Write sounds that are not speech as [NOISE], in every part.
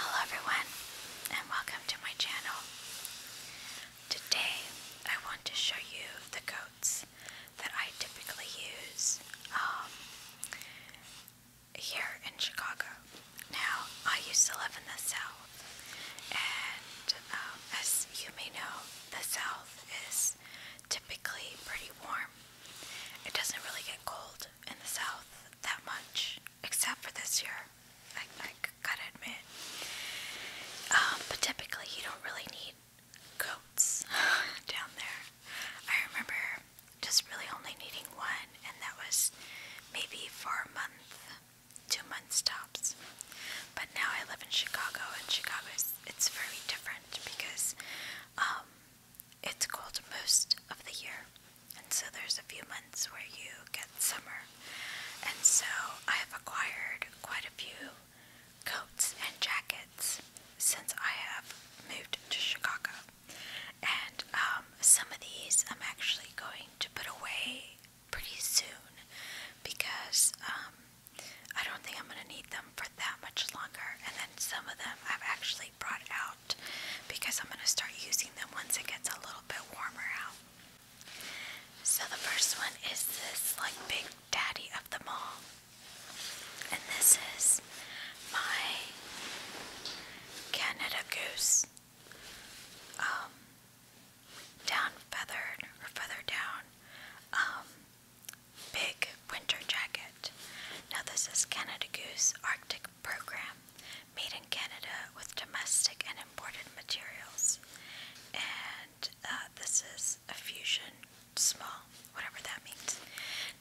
Hello everyone and welcome to my channel. Today I want to show you the coats that I typically use um, here in Chicago. Now I used to live in the South and um, as you may know the South is typically pretty warm. It doesn't really get cold in the South that much except for this year. I, I gotta admit. Um, but typically, you don't really need goats [LAUGHS] down there. I remember just really only needing one, and that was maybe for a month, two months tops. But now I live in Chicago, and Chicago it's very different because um, it's cold most of the year, and so there's a few months where you get summer. And so I have acquired quite a few coats and jackets since I have moved to Chicago. And um, some of these I'm actually going to put away pretty soon because um, I don't think I'm going to need them for that much longer. And then some of them I've actually brought out because I'm going to start using them once it gets a little bit warmer out. So the first one is this like big daddy of them all. And this is my Canada Goose um, down feathered or feather down um, big winter jacket. Now this is Canada Goose Arctic program made in Canada with domestic and imported materials. And uh, this is a fusion small, whatever that means.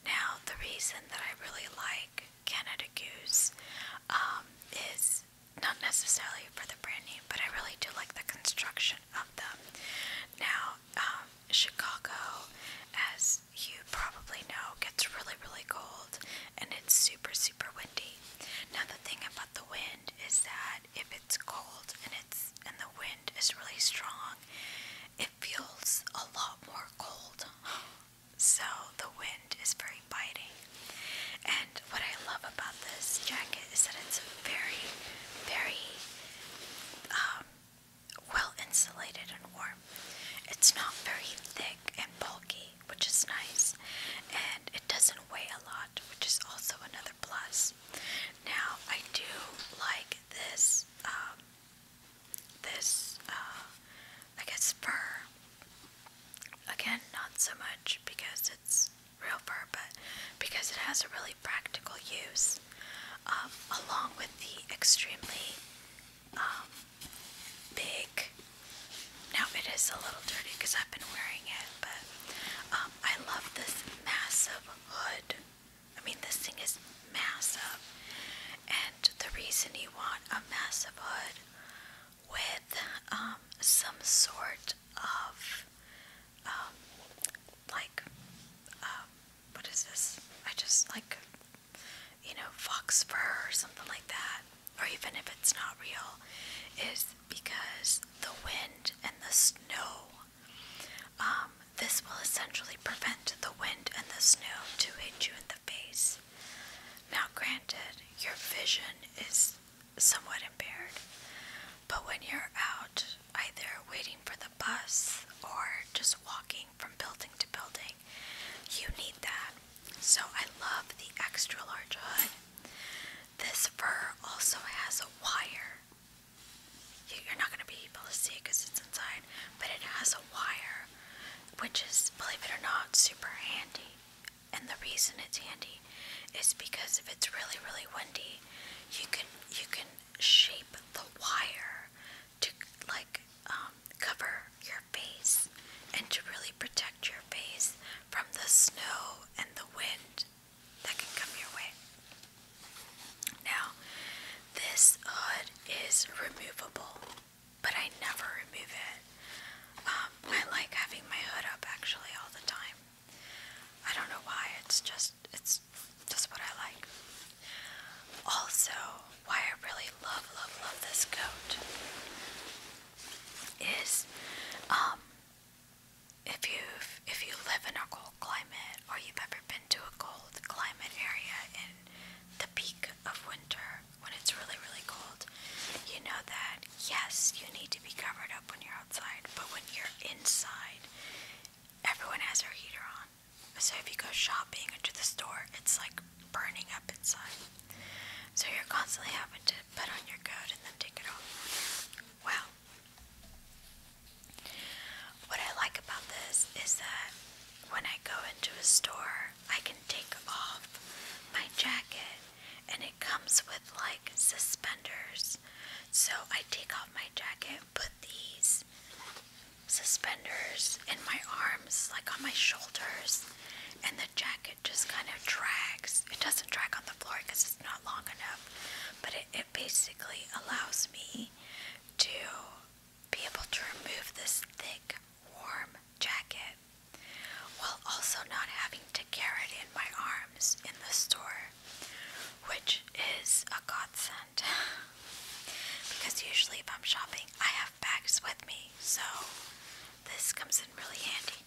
Now, the reason that I really like Canada Goose um, is not necessarily for the brand name, but I really do like the construction of them. Now, um, Chicago, as you probably know, gets really, really cold and it's super, super windy. Now, the thing about the wind is that if it's cold and it's and the wind is really strong, it feels a lot more cold. [GASPS] So, the wind is very biting. And what I love about this jacket is that it's very, very um, well insulated and warm. It's not very thick and bulky which is nice, and it doesn't weigh a lot, which is also another plus. Now I do like this, um, this, uh, I guess Again, not so much because it's real fur, but because it has a really practical use, um, along with the extremely um, big. Now it is a little dirty because I've been wearing it, but um, I love this massive hood. I mean, this thing is massive, and the reason you want a massive hood with um, some sort of um, like um, what is this? I just like you know, fox fur or something like that, or even if it's not real, is because the wind and the snow. Um, this will essentially prevent the wind and the snow to hit you in the face. Now, granted, your vision is somewhat impaired, but when you're out, either waiting for the bus or just walking from building to building, you need that. So I love the extra large hood. This fur also has a wire. You're not going to be able to see it because it's inside, but it has a wire, which is, believe it or not, super handy. And the reason it's handy is because if it's really, really windy, you can you can shape the wire to like um, cover your face and to really protect your face from the snow and the wind that can come your way. Now, this hood is removable, but I never remove it. Um, I like having my hood up actually all the time. I don't know why, it's just it's just what I like. Also, why I really love, love, love this coat is um, if you if you live in a cold climate or you've ever been to a cold climate area in the peak of winter when it's really really cold, you know that yes, you need to be covered up when you're outside, but when you're inside, everyone has their heater on. So if you go shopping into the store, it's like burning up inside. So you're constantly having to put on your coat and then take it off. Wow. What I like about this is that when I go into a store, I can take off my jacket and it comes with like suspenders. So I take off my jacket, put these suspenders in my arms, like on my shoulders, and the jacket just kind of drags. It doesn't drag on the floor because it's not long enough, but it, it basically allows me to be able to remove this thick, warm jacket while also not having to carry it in my arms in the store, which is a godsend. [LAUGHS] because usually, if I'm shopping, I have bags with me so this comes in really handy.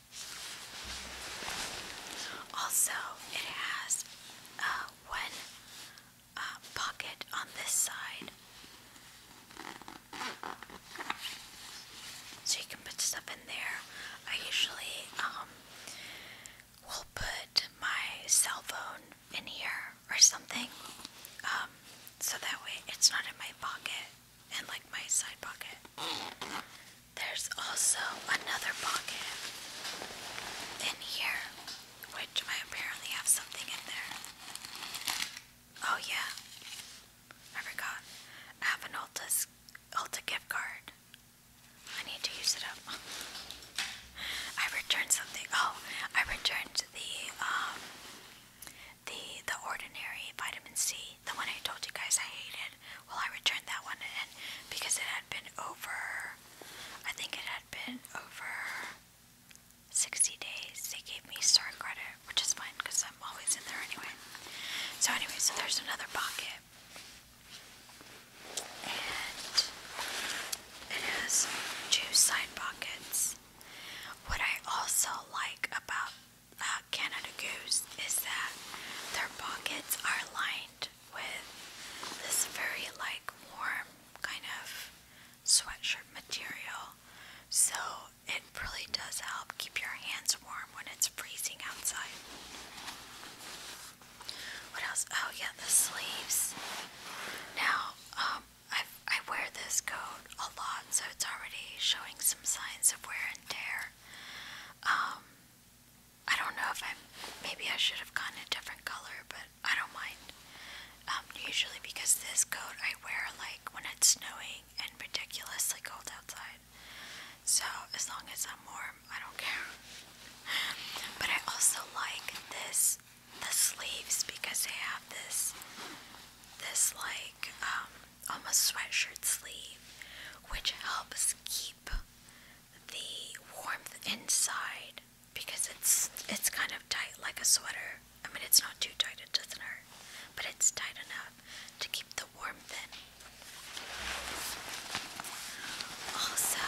Also, it has uh, one uh, pocket on this side, so you can put stuff in there. I usually um, will put my cell phone in here or something, um, so that way it's not in my pocket and like my side pocket. There's also another pocket in here, which I apparently have something in there. Oh yeah, I forgot. I have an Ulta's, Ulta gift card. I need to use it up. [LAUGHS] I returned something. Oh, I returned the um the the ordinary vitamin C, the one I told you guys I hated. Well, I returned that one in because it had been over. I think it had been over 60 days. They gave me star credit, which is fine because I'm always in there anyway. So anyway, so there's another pocket. And it has two side pockets. What I also like about uh, Canada Goose is that their pockets are lined with this very like warm kind of sweatshirt material. So it really does help keep your hands warm when it's freezing outside. What else? Oh yeah, the sleeves. Now, um, I I wear this coat a lot, so it's already showing some signs of wear and tear. Um, I don't know if I maybe I should have gotten a different color, but I don't mind. Um, usually because this coat I wear like when it's snowing and ridiculously cold outside. So as long as I'm warm, I don't care. But I also like this the sleeves because they have this this like um, on almost sweatshirt sleeve, which helps keep the warmth inside because it's it's kind of tight like a sweater. I mean, it's not too tight; it doesn't hurt, but it's tight enough to keep the warmth in. Also,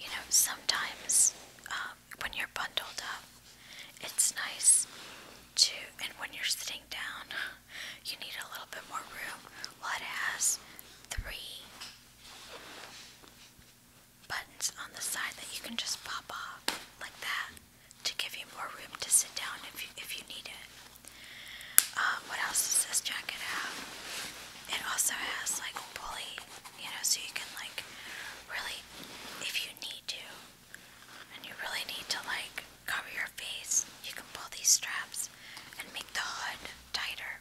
you know, sometimes um, when you're bundled up, it's nice to, and when you're sitting down, you need a little bit more room. Well, it has three buttons on the side that you can just pop off like that to give you more room to sit down if if you need it. Um, what else does this jacket have? It also has like a pulley, you know, so you can like really, if you need to, and you really need to like cover your face, you can pull these straps and make the hood tighter.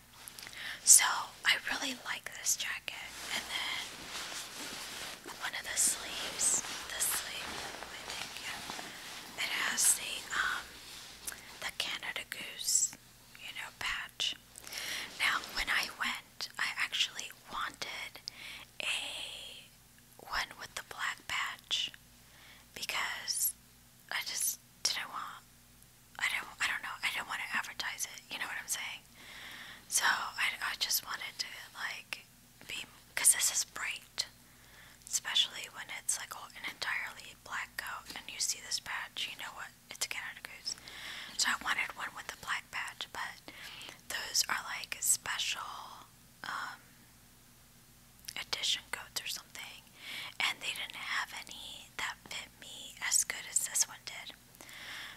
So I really like this jacket. And then one of the sleeves, the sleeve, I it has the um the Canada Goose, you know, patch. Now when I went, I actually wanted a one with the black patch because I just didn't want I don't I don't know I didn't want to advertise it you know what I'm saying so I, I just wanted to like be because this is bright especially when it's like an entirely black coat and you see this patch you know what it's a Canada Goose so I wanted one with the black patch but those are like special edition um, coats or something, and they didn't have any that fit me as good as this one did.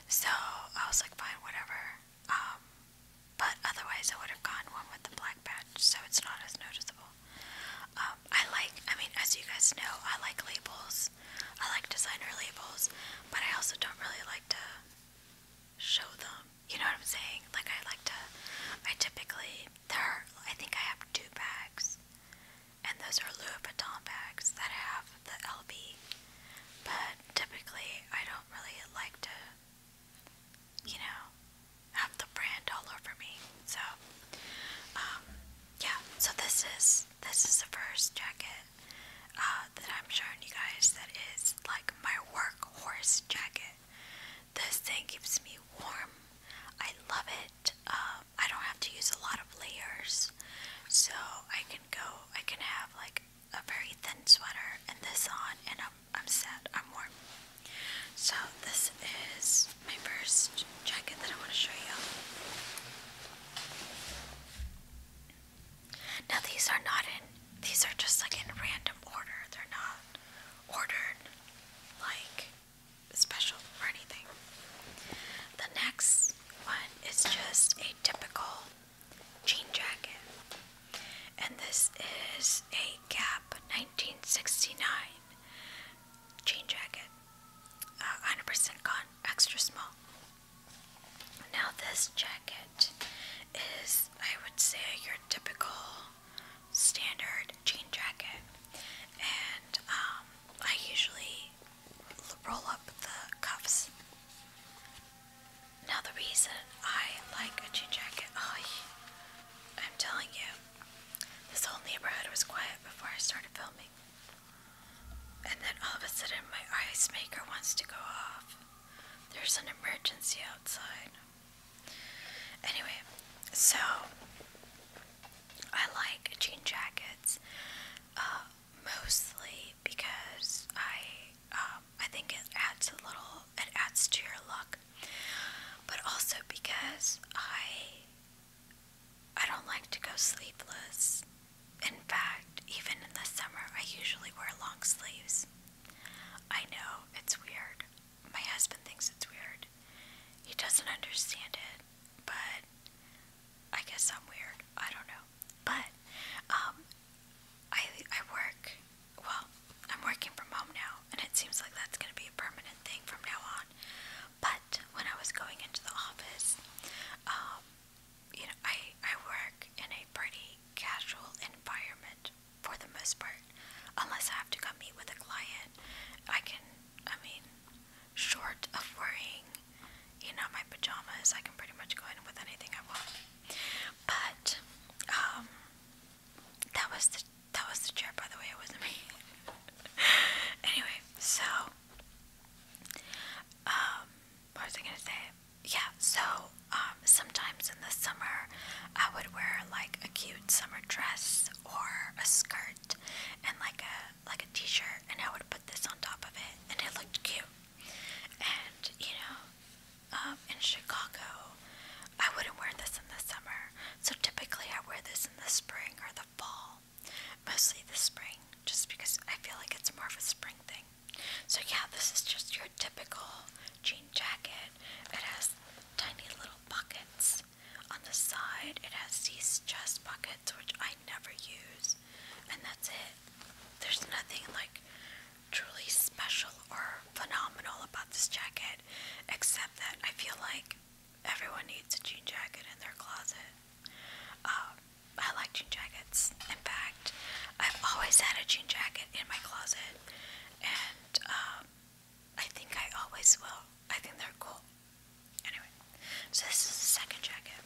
So I was like, fine, whatever. Um, but otherwise, I would have gone one with the black patch, so it's not as noticeable. Um, I like, I mean, as you guys know, I like labels. I like designer labels, but I also don't really like to show them you know what I'm saying? Like I like to, I typically there. I think I have two bags, and those are Louis Vuitton bags that have the LB. But typically, I don't really like to, you know, have the brand all over me. So, um, yeah. So this is this is the first jacket uh, that I'm showing you guys that is like my workhorse jacket. This thing keeps me warm. I love it. Um, I don't have to use a lot of layers, so I can go. I can have like a very thin sweater and this on, and I'm I'm set. I'm warm. So this is my first jacket that I want to show you. Now these are not in these are just like in random order. They're not ordered like special or anything. The next one is just a typical jean jacket. And this is a Gap 1969 jean jacket. 100% uh, gone, extra small. Now, this jacket is I would say, your typical standard jean jacket. And um, I usually roll up the cuffs. Now, the reason I like a jean jacket, oh, I'm telling you, this whole neighborhood was quiet before I started filming. And then all of a sudden, my ice maker wants to go off. There's an emergency outside. Anyway, so I like jean jackets uh, mostly because I um, I think it adds a little it adds to your look, but also because I I don't like to go sleeveless. In fact, even in the summer, I usually wear long sleeves. I know, it's weird. My husband thinks it's weird. He doesn't understand it, but I guess I'm weird. I don't know. But um, I I work well, I'm working from home now and it seems like that's gonna be a permanent thing from now on. But when I was going into the office, um, you know, I I work in a pretty casual environment out for the most part. Unless I have to come meet with a client, I can, I mean, short of wearing, you know, my pajamas, I can pretty much go in with anything I want. But, um, that was the, that was the chair, by the way, it wasn't me. [LAUGHS] anyway, so, um, what was I gonna say? yeah, so um, sometimes in the summer I would wear like a cute summer dress or a skirt and like a like a t-shirt and I would put this on top of it and it looked cute. And you know, um, in Chicago I wouldn't wear this in the summer. So typically I wear this in the spring or the fall. Mostly the spring, just because I feel like it's more of a spring thing. So yeah, this is just your typical jean jacket. It has tiny little pockets on the side. It has these chest pockets, which I never use, and that's it. There's nothing like truly special or phenomenal about this jacket, except that I feel like everyone needs a jean jacket in their closet. Um, I like jean jackets. In fact, I've always had a jean jacket in my closet, and um, I think I always will. I think they're cool. Anyway, so this is the second jacket.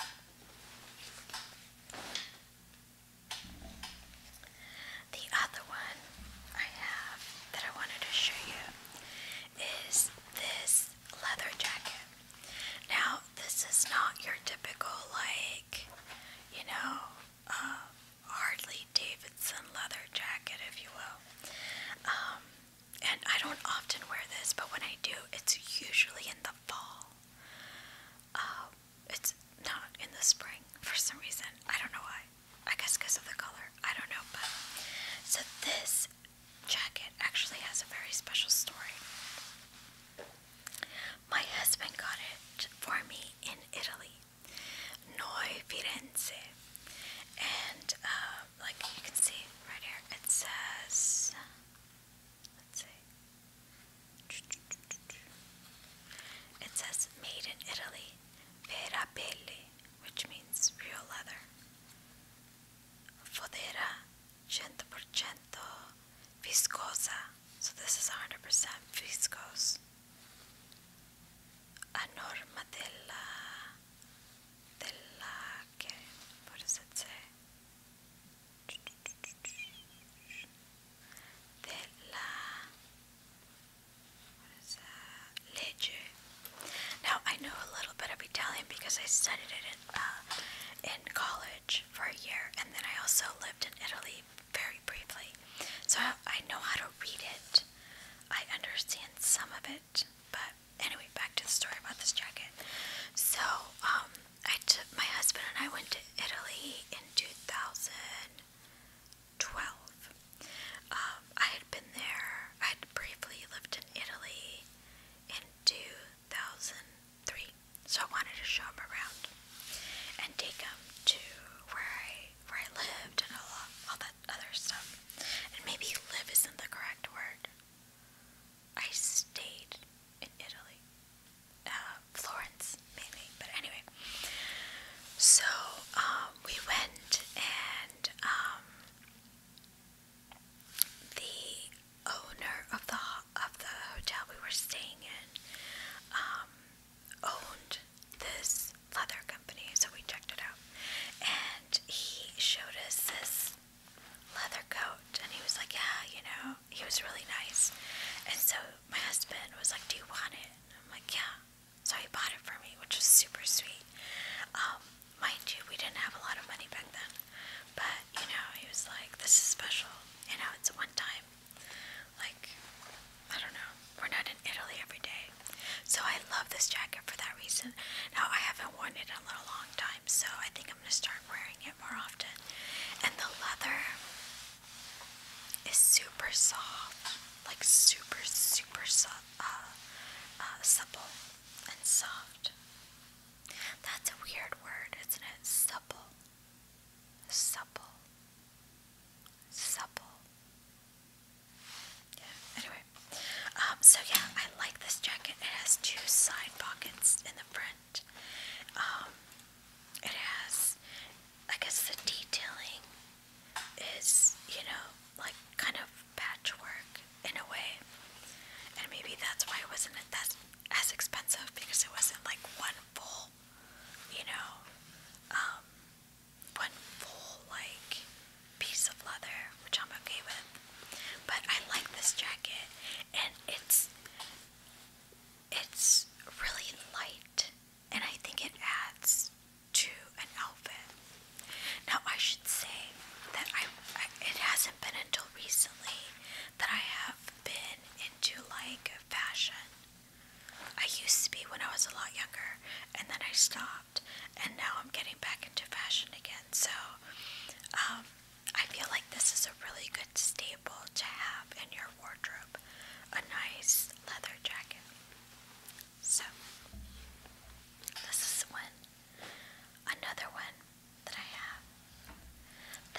The other one I have that I wanted to show you is this leather jacket. Now, this is not your typical, like, you know, um, Harley Davidson leather jacket, if you will. Um, and I don't often wear this, but when I do, it's usually in the fall. Um, it's not in the spring for some reason. I don't know why. I guess because of the color. I don't know, but so this jacket actually has a very special story. My husband got it for me in Italy. Noi Firenze. And uh, like you can see right here, it says, let's see, it says made in Italy, Verapelli, which means real leather. Fodera 100% viscosa. So this is 100% viscose a norma now I know a little bit of Italian because I studied it in, uh, in college for a year and then I also lived in Italy very briefly. So I, know how to read it. I understand some of it, but anyway, back to the story about this jacket. So, um, I took my husband and I went to Italy in 2012. Um, I had been there, I had briefly lived in Italy in 2003, so I wanted to show him around and take him to where I where I lived and all, all that other stuff. And maybe live isn't the correct word. I stayed in Italy. Uh, Florence, maybe. But anyway. So, um, we went and, um, the owner of the, of the hotel we were staying in, um, owned this leather company, so we checked it out. And he showed us this leather coat, and he was like, Yeah, you know, he was really nice. And so my husband was like, Do you want it? And I'm like, Yeah. So he bought it for me, which was super sweet. Um, mind you, we didn't have a lot of money back then, but you know, he was like, This is special, you know, it's a one time like, I don't know. We're not in Italy every day. So I love this jacket for that reason. Now, I haven't worn it in a little long time, so I think I'm going to start wearing it more often. And the leather is super soft. Like, super, super sup Uh, uh, supple and soft. That's a weird word, isn't it? Supple. Supple supple. Yeah, anyway. Um, so yeah, I like this jacket. It has two side pockets in the front. Um, it has, I guess the detailing is, you know, like kind of patchwork in a way. And maybe that's why it wasn't that as expensive because it wasn't like one full, you know, um, one full like piece of leather, which I'm okay with. But I like this jacket, and it's it's really light, and I think it adds to an outfit. Now I should say that I, I it hasn't been until recently that I have been into like fashion I used to be when I was a lot younger, and then I stopped, and now I'm getting back into fashion again. So, um, I feel like this is a really good staple to have in your wardrobe a nice leather jacket. So, this is one, another one that I have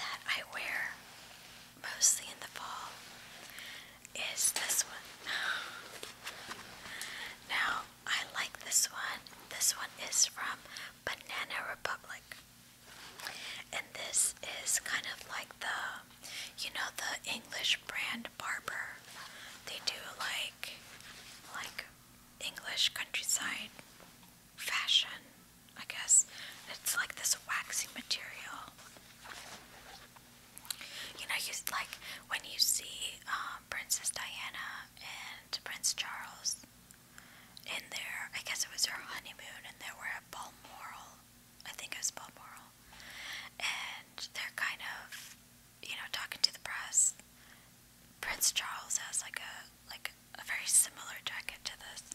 that I wear mostly in the fall is this one. [SIGHS] Now, I like this one. This one is from Banana Republic. And this is kind of like the, you know, the English brand Barber. They do like, like English countryside fashion, I guess. It's like this waxy material. You know, you like when you see um, Princess Diana and Prince Charles in there. I guess it was their honeymoon, and they were at Balmoral. I think it was Balmoral, and they're kind of, you know, talking to the press. Prince Charles has like a like a very similar jacket to this.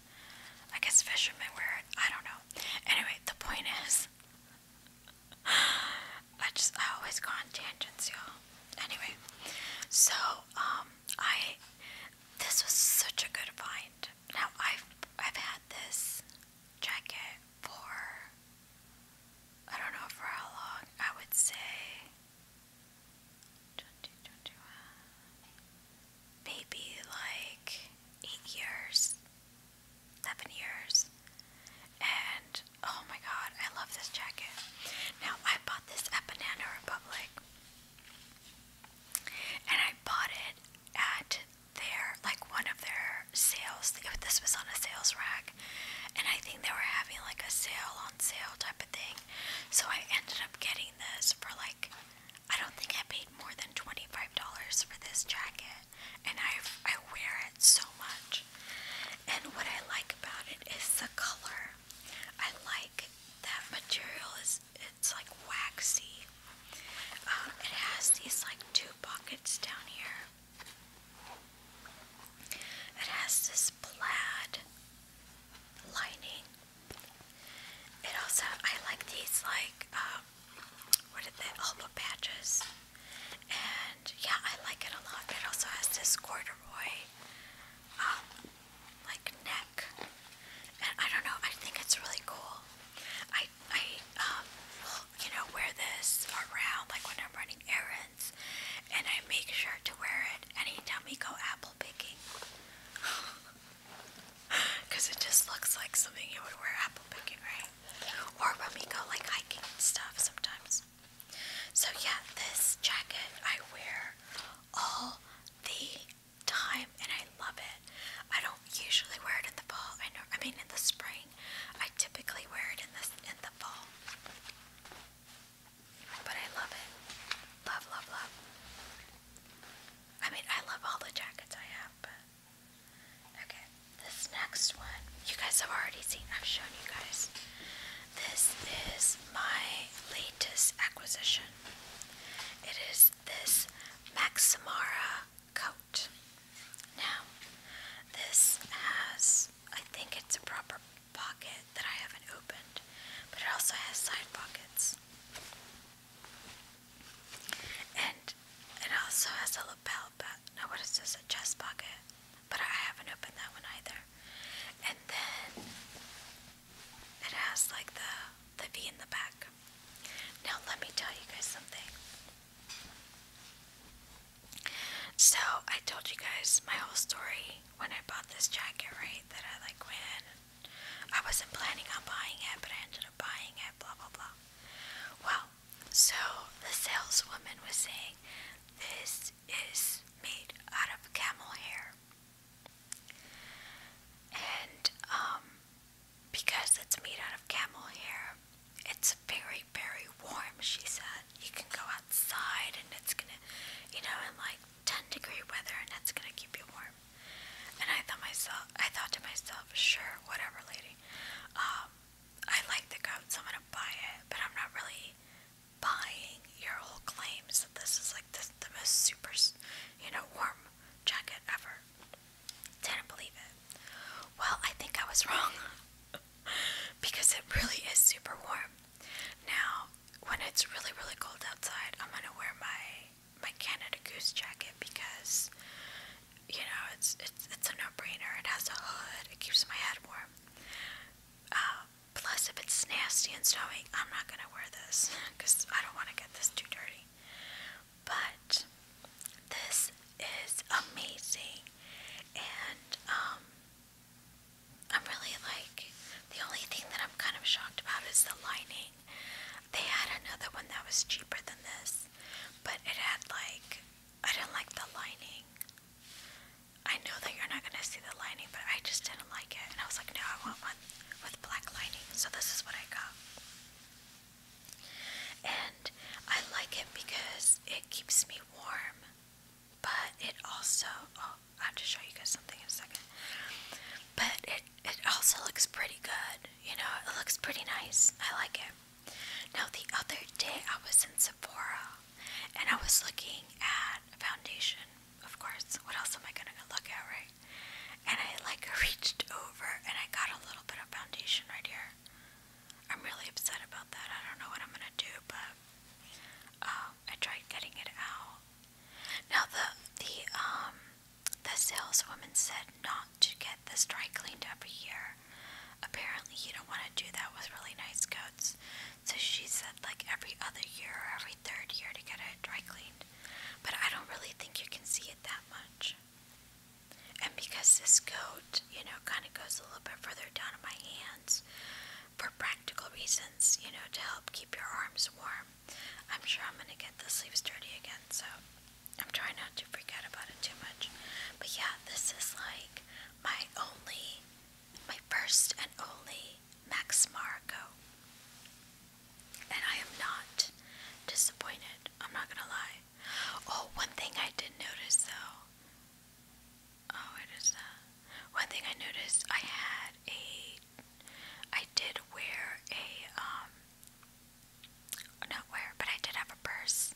I guess fishermen wear it. I don't know. Anyway, the point is, I just I always go on tangents, y'all. Anyway, so um I this was such a good find. Now I've I've had this jacket for I don't know for how long. I would say twenty twenty one maybe like eight years 11 years. And oh my god, I love this jacket. Now, I bought this at Banana Republic. And I bought it at their, like one of their sales. This was on a sales rack. And I think they were having like a sale on sale type of thing. So I ended up getting this for like, I don't think I paid more than $25 for this jacket and I I wear it so much. And what I like about it is the color. I like that material is it's like waxy. Um, it has these like two pockets down here. It has this plaid lining. It also I like these like um, what are they, elbow patches. And yeah, I like it a lot. It also has this corduroy, um, like neck. And I don't know, I think it's really cool. I, I, um, you know, wear this around like when I'm running errands. And I make sure to wear it anytime we go apple picking. Because [LAUGHS] it just looks like something you would wear apple picking, right? or when we go like hiking and stuff sometimes. So yeah, this jacket I wear all the time and I love it. I don't usually wear it in the fall. I know I mean in the spring. I typically wear it in this in the fall. But I love it. Love, love, love. I mean I love all the jackets I have, Okay, this next one, you guys have already seen, I've shown you guys. This is my latest acquisition. It is this Maximara coat. Now, this has, I think it's a proper pocket that I haven't opened, but it also has side pockets. And it also has a lapel, but no, what is this? A chest pocket. But I haven't opened that one either. And then it has like the the V in the back. Now let me tell you guys something. So I told you guys my whole story when I bought this jacket, right? That I like went. I wasn't planning on buying it, but I ended up buying it. Blah blah blah. Well, so the saleswoman was saying, This is made out of camel hair. And um, because it's made out of camel hair, it's very, very warm, she said. You can go outside and it's gonna, you know, in like 10 degree weather and that's gonna keep you warm. And I thought myself, I thought to myself, sure, whatever, lady. Um, I like the coat, so I'm gonna buy it, but I'm not really buying your whole claims that this is like the, the most super, you know, warm jacket ever. Didn't believe it. Well, I think I was [LAUGHS] wrong because it really is super warm. Now, when it's really, really cold outside, I'm gonna wear my my Canada Goose jacket because you know, it's it's it's a no-brainer. It has a hood. It keeps my head warm. Uh, plus, if it's nasty and snowy, I'm not gonna wear this because I don't want to get this too dirty. But this is amazing, and um, I'm really like the only thing that I'm kind of shocked about is the lining. They had another one that was cheaper than this, but it had like I didn't like the lining. I know that you're not gonna see the lining, but I just didn't like it. And I was like, no, I want one with black lining. So this is what I got. And I like it because it keeps me warm, but it also, oh, I have to show you guys something in a second. But it, it also looks pretty good, you know, it looks pretty nice. I like it. Now, the other day I was in Sephora and I was looking at a foundation, of course. What else am I going to look at, right? And I like [LAUGHS] reached over and I got a little bit of foundation right here. I'm really upset about that. I don't know what I'm going to do, but um, I tried getting it out. Now, the, the, um, the saleswoman said, no, um, to get this dry cleaned every year. Apparently, you don't want to do that with really nice coats. So she said, like every other year or every third year to get it dry cleaned. But I don't really think you can see it that much. And because this coat, you know, kind of goes a little bit further down in my hands for practical reasons, you know, to help keep your arms warm, I'm sure I'm going to get the sleeves dirty again. So I'm trying not to freak out about it too much. But yeah, this is like my only, my first and only Max Marco. And I am not disappointed. I'm not gonna lie. Oh, one thing I did notice though. Oh, it is that. One thing I noticed, I had a, I did wear a um, not wear, but I did have a purse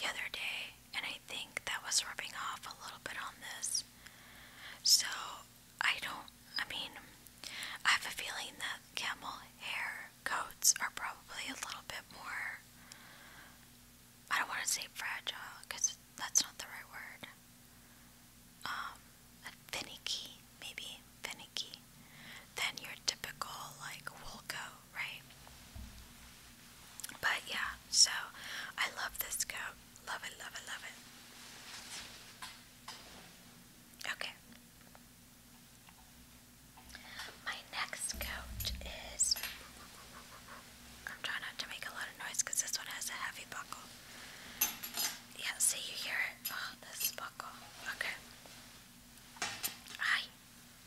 the other day, and I think that was rubbing off a little bit on this. So I don't, I mean, I have a feeling that camel hair coats are probably a little bit more, I don't want to say fragile, because that's not the right word. Um, finicky, maybe finicky, than your typical like wool coat right? But yeah, so I love this coat. Love it, love it, love it. Okay. My next coat is. I'm trying not to make a lot of noise because this one has a heavy buckle. Yeah, see, you hear it? Oh, this buckle. Okay. I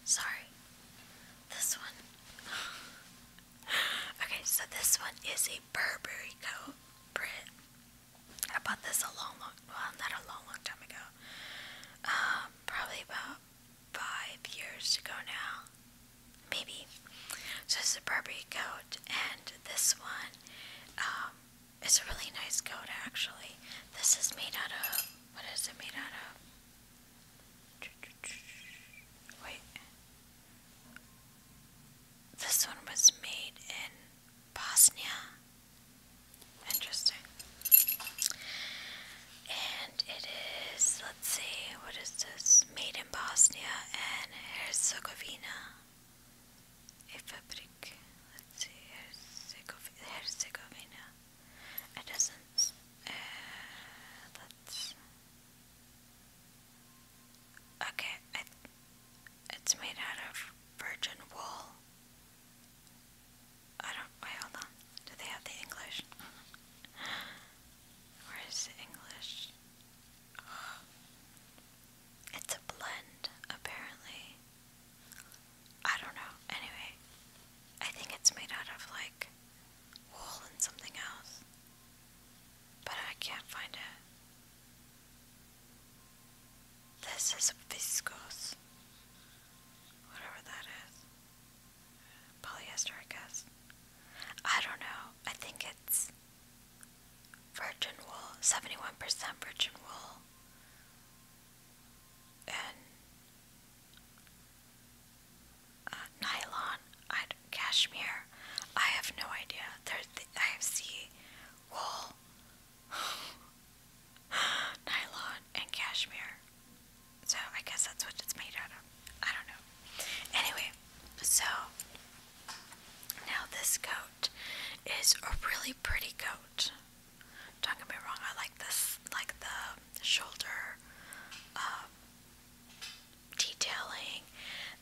Sorry. This one. [SIGHS] okay, so this one is a Burberry coat print. I bought this a long, long, well, not a long, long time ago. Um, probably about five years ago now. Maybe. So it's a Burberry coat, and this one, um, it's a really nice coat actually. This is made out of, what is it made out of? Wait. This one was made in Bosnia. Interesting. And it is, let's see, what is this? Made in Bosnia and Herzegovina. A Let's see, Herzegovina. It doesn't. that's okay. It, it's made out of virgin wool. I don't. Wait, hold on. Do they have the English? Where is the English? It's a blend, apparently. I don't know. Anyway, I think it's made out of like wool and something else. But I can't find it. This is viscose. Whatever that is. Polyester, I guess. I don't know. I think it's virgin wool, 71% virgin wool. And uh, nylon, I, cashmere. I have no idea. There, th I see wool, [SIGHS] nylon, and cashmere. So I guess that's what it's made out of. I don't know. Anyway, so now this coat is a really pretty coat. Don't get me wrong, I like this, like the shoulder um, detailing.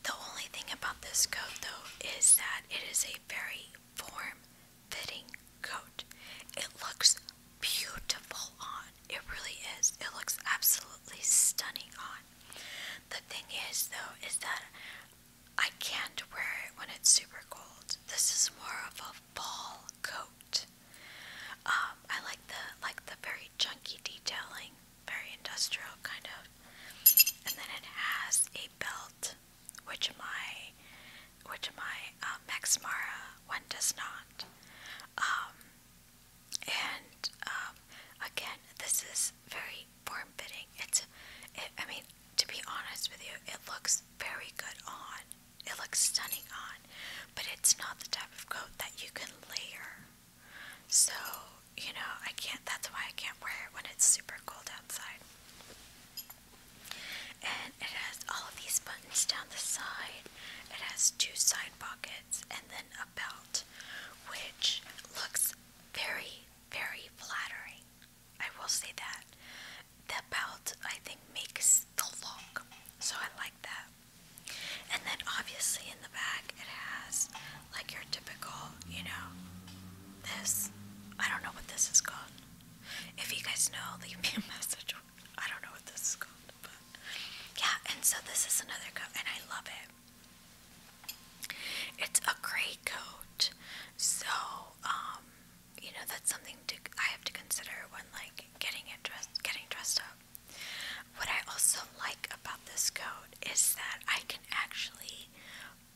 The only thing about this coat, though, is that it is a very form-fitting coat. It looks beautiful on. It really is. It looks absolutely stunning on. The thing is, though, is that I can't wear it when it's super cold. This is more of a fall coat. Um, I like the like the very chunky detailing, very industrial kind of. And then it has a belt, which my which my um, Max Mara one does not. Um, and again, this is very form fitting. It's, I mean, to be honest with you, it looks very good on. It looks stunning on, but it's not the type of coat that you can layer. So, you know, I can't, that's why I can't wear it when it's super cold outside. And it has all of these buttons down the side. It has two side pockets and then a belt, which looks very, very flattering. I will say that the belt I think makes the look, so I like that. And then obviously in the back it has like your typical, you know, this. I don't know what this is called. If you guys know, [LAUGHS] leave me a message. I don't know what this is called, but yeah. And so this is another coat, and I love it. It's a gray coat, so um, you know that's something to I have to consider when like getting it dressed, getting dressed up. What I also like about this coat is that I can actually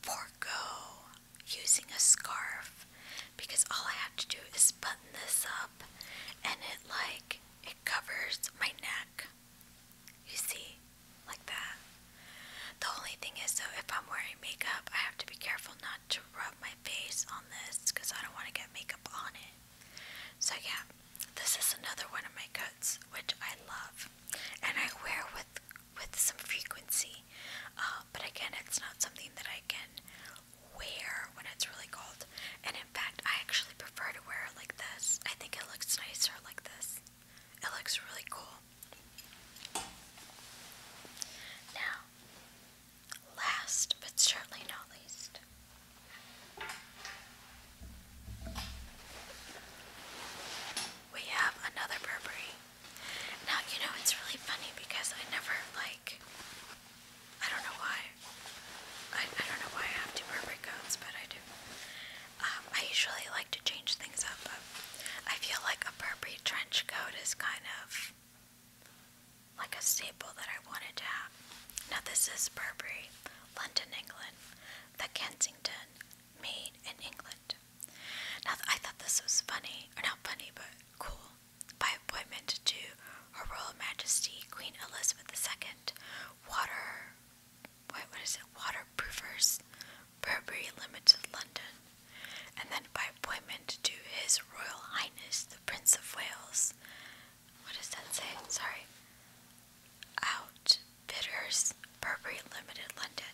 forego using a scarf because all I have to do is button this up and it like it covers my neck. You see, like that. The only thing is though, if I'm wearing makeup, I have to be careful not to rub my face on this because I don't want to get makeup on it. So yeah, this is another one of my coats which I love, and I wear with with some frequency. Uh, but again, it's not something that I can wear when it's really cold. And in fact, I actually prefer to wear it like this. I think it looks nicer like this. It looks really cool. Now, last but certainly not least, we have another Burberry. Now, you know, it's really funny because I never like, I don't know why. I, don't know why I have two Burberry coats, but I do. Um, I usually like to change things up, but I feel like a Burberry trench coat is kind of like a staple that I wanted to have. Now, this is Burberry, London, England, the Kensington, made in England. Now, I thought this was funny, or not funny, but cool. By appointment to Her Royal Majesty Queen Elizabeth II, water, what is it, waterproofers, Burberry Limited, London. And then by appointment to His Royal Highness the Prince of Wales, what does that say? Sorry. Out bitters Burberry Limited London.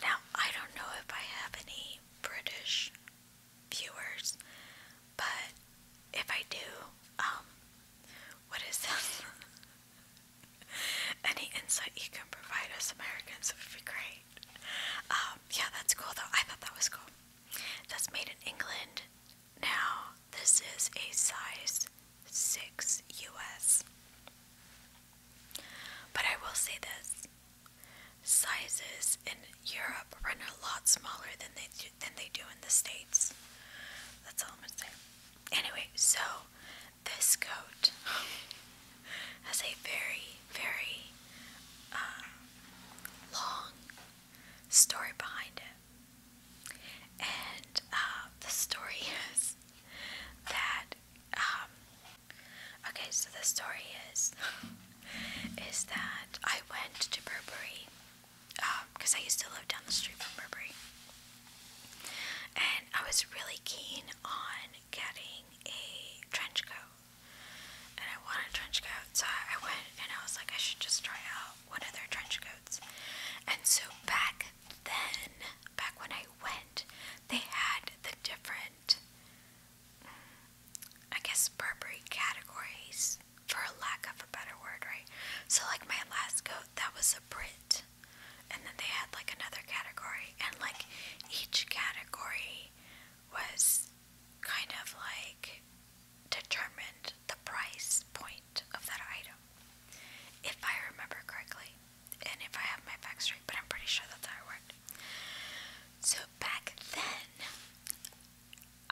Now I don't know if I have any British viewers, but if I do, um, what is that? [LAUGHS] Any insight you can provide us Americans would be great. Um, yeah, that's cool though. I thought that was cool. That's made in England, now, this is a size 6 US. But I will say this sizes in Europe run a lot smaller than they do, than they do in the States. That's all I'm gonna say. Anyway, so this coat [LAUGHS] has a very, very um, long story behind it. And uh, the story [LAUGHS] is that, um, okay, so the story is, [LAUGHS] is that I went to Burberry, because um, I used to live down the street from Burberry. And I was really keen on getting a trench coat and I want a trench coats, So I went and I was like, I should just try out one of their trench coats. And so back then, back when I went, they had the different, mm, I guess, Burberry categories, for lack of a better word, right? So, like, my last coat, that was a Brit. And then they had like another category, and like each category was kind of like determined the price point of that item, if I remember correctly, and if I have my facts straight, but I'm pretty sure that's how it worked. So back then,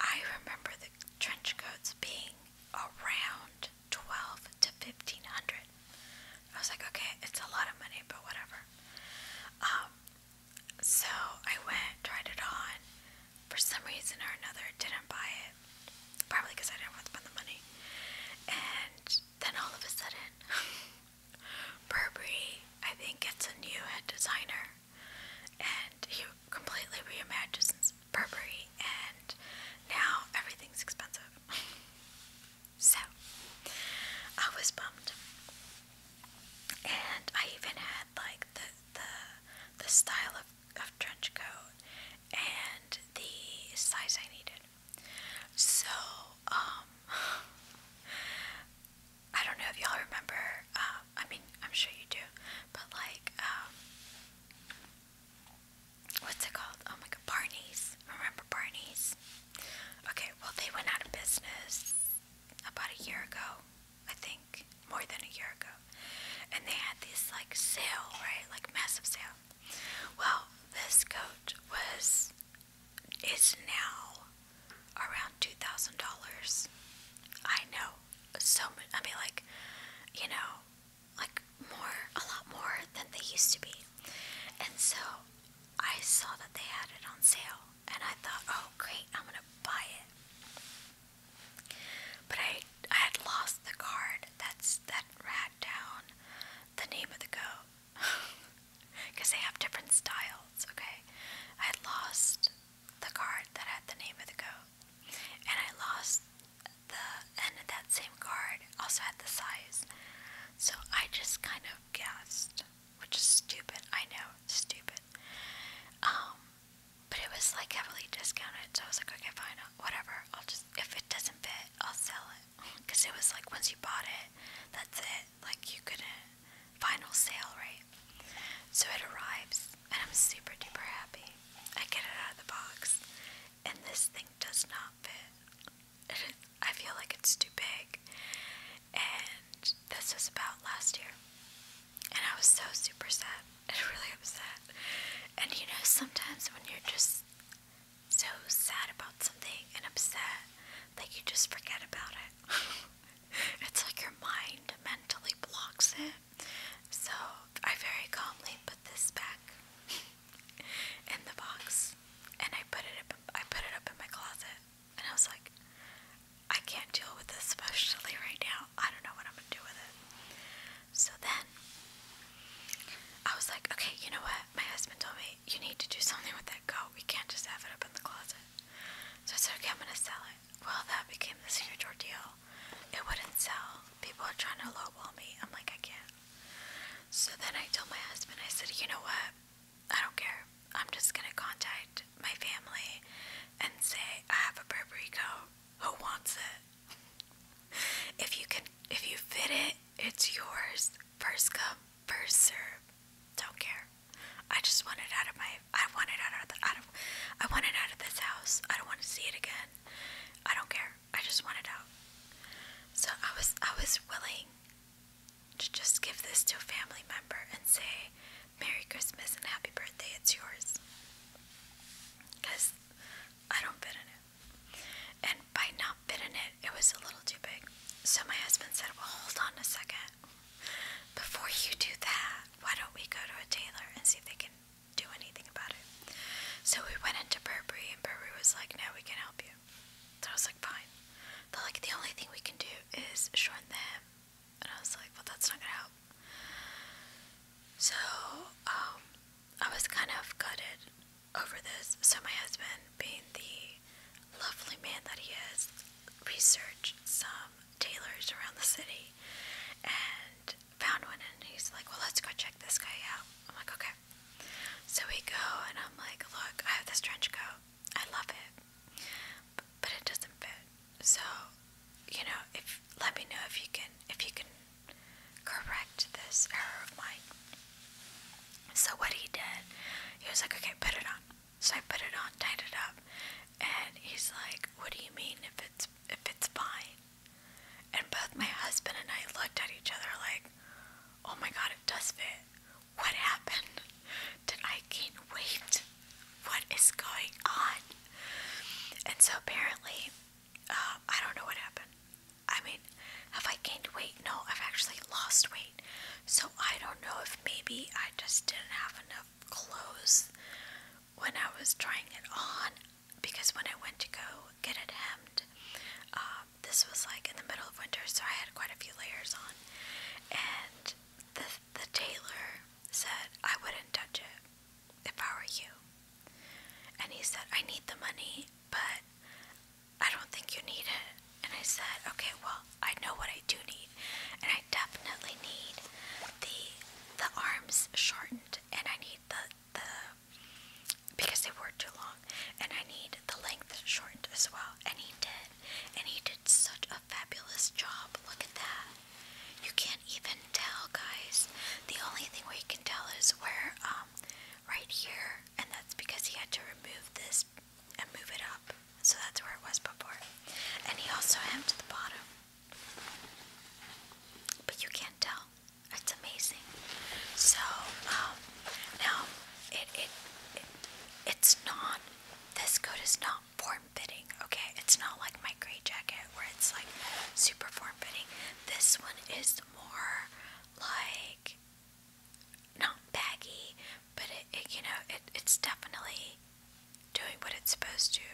I remember the trench coats being around twelve to fifteen hundred. I was like, okay, it's a lot of money, but whatever. Um, so I went, tried it on. For some reason or another, didn't buy it. Probably because I didn't want to spend the money. And then all of a sudden, [LAUGHS] Burberry, I think, it's a new head designer. And he completely reimagines Burberry, and now everything's expensive. [LAUGHS] so, I was bummed. And I even had, like, the the the style of, of trench coat and the size I needed. So, um [LAUGHS] I don't know if y'all remember, uh, I mean I'm sure you do, but like um, what's it called? Oh my god, Barney's. Remember Barney's? Okay, well they went out of business about a year ago. I think, more than a year ago. And they had this like sale, right? Like massive sale. Well, this coat was is now around two thousand dollars. I know so much. I mean, like you know, like more, a lot more than they used to be. And so I saw that they had it on sale, and I thought, oh great, I'm gonna buy it. But I, I had lost the card that's that rat down the name of the goat. Because [LAUGHS] they have different styles, okay? I lost the card that had the name of the goat. And I lost the, and that same card also had the size. So I just kind of guessed, which is stupid. I know, stupid. Um, but it was like heavily discounted, so I was like, okay, fine, whatever. I'll just if it doesn't fit, I'll sell it. [LAUGHS] Cause it was like once you bought it, that's it. Like you couldn't final sale, right? So it arrives, and I'm super duper happy. I get it out of the box, and this thing does not fit. [LAUGHS] I feel like it's too big, and this was about last year. And I was so super sad and [LAUGHS] really upset. And you know, sometimes when you're just so sad about something and upset, like you just forget about it. [LAUGHS] it's like your mind mentally blocks it. So I very calmly put this back [LAUGHS] in the box and I put it I put it up in my closet and I was like, I can't deal with this especially right now. I don't know what I'm gonna do with it. So then I was like, okay, you know what? My husband told me you need to do something with that coat. We can't just have it up in the closet. So I said, okay, I'm gonna sell it. Well, that became this huge ordeal. It wouldn't sell. People are trying to lowball me. I'm like, I can't. So then I told my husband, I said, you know what? I don't care. I'm just gonna contact my family and say I have a Burberry coat who wants it? If you can, if you fit it, it's yours. First come, first serve. Don't care. I just want it out of my. I want it out of Out of, I want it out of this house. I don't want to see it again. I don't care. I just want it out. So I was. I was willing to just give this to a family member and say, Merry Christmas and Happy Birthday, it's yours. Because I don't fit in it. And by not fitting it, it was a little too big. So my husband said, Well, hold on a second. Before you do that, why don't we go to a tailor and see if they can do anything about it? So we went into Burberry, and Burberry was like, No, we can help you. So I was like, Fine. they like, The only thing we can do is shorten the and I was like, well, that's not gonna help. So, um, I was kind of gutted over this. So, my husband, being the lovely man that he is, researched some tailors around the city and found one. And he's like, well, let's go check this guy out. I'm like, okay. So, we go, and I'm like, look, I have this trench coat. I love it, but it doesn't fit. So, you know, if let me know if you can if you can correct this error of mine. So what he did, he was like, Okay, put it on. So I put it on, tied it up, and he's like, What do you mean if it's if it's fine? And both my husband and I looked at each other like, Oh my god, it does fit. What happened? Did I gain weight? what is going on? And so apparently, um, I don't know what happened. I mean, have I gained weight? No, I've actually lost weight. So I don't know if maybe I just didn't have enough clothes when I was trying it on because when I went to go get it hemmed, um, this was like in the middle of winter, so I had quite a few layers on. And the, the tailor said I wouldn't touch it if I were you. And he said, I need the money, but I don't think you need it. And I said, okay, well, I know what I do need. And I definitely need the the arms shortened and I need the the because they were too long and I need the length shortened as well. And he did. And he did such a fabulous job. Look at that. You can't even tell, guys. The only thing where you can tell is where, um, right here, and that's because he had to remove this and move it up. So that's where it was before. And he also hemmed the bottom. But you can't tell. It's amazing. So, um, now, it, it, it's not, this good as not form-fitting, okay? It's not like my gray jacket where it's like super form-fitting. This one is more like not baggy, but it, you know, it, it's definitely doing what it's supposed to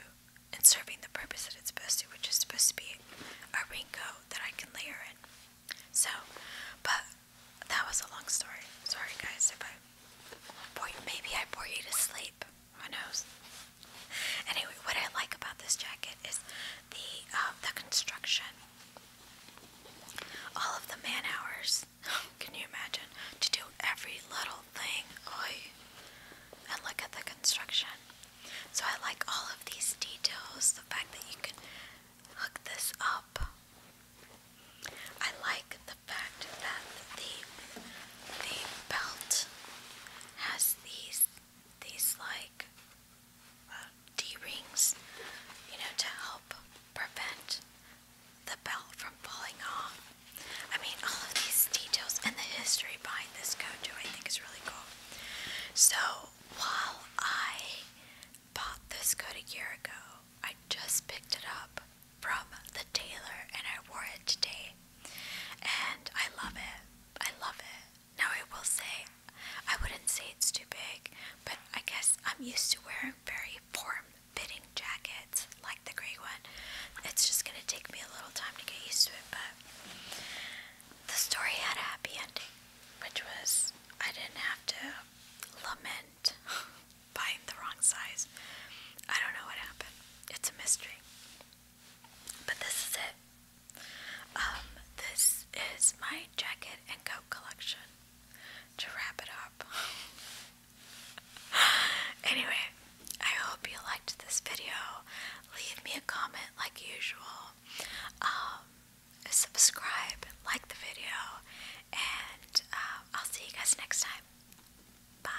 and serving the purpose that it's supposed to, which is supposed to be a raincoat that I can layer it. So, but that was a long story. Sorry guys if I maybe I bore you to sleep. Who knows? Anyway, what I like about this jacket is the um, the construction. All of the man hours. [LAUGHS] Can you imagine to do every little thing? Oy. And look at the construction. So I like all of these details. The fact that you can hook this up. I like the fact that the the belt has these these like uh, D rings, you know, to help prevent the belt from falling off. I mean, all of these details and the history behind this coat I think is really cool. So while I bought this coat a year ago, I just picked it up from the tailor and I wore it today and I love it. I love it. Now I will say, I wouldn't say it's too big, but I guess I'm used to wearing very form-fitting jackets like the gray one. It's just gonna take me a little time to get used to it, but the story had a happy ending, which was I didn't have to lament [LAUGHS] buying the wrong size. I don't know what happened. It's a mystery. But this is it. Um, this is my jacket and coat collection. To wrap it up. [LAUGHS] anyway, I hope you liked this video. Leave me a comment like usual. Um, subscribe, like the video, and uh, I'll see you guys next time. Bye.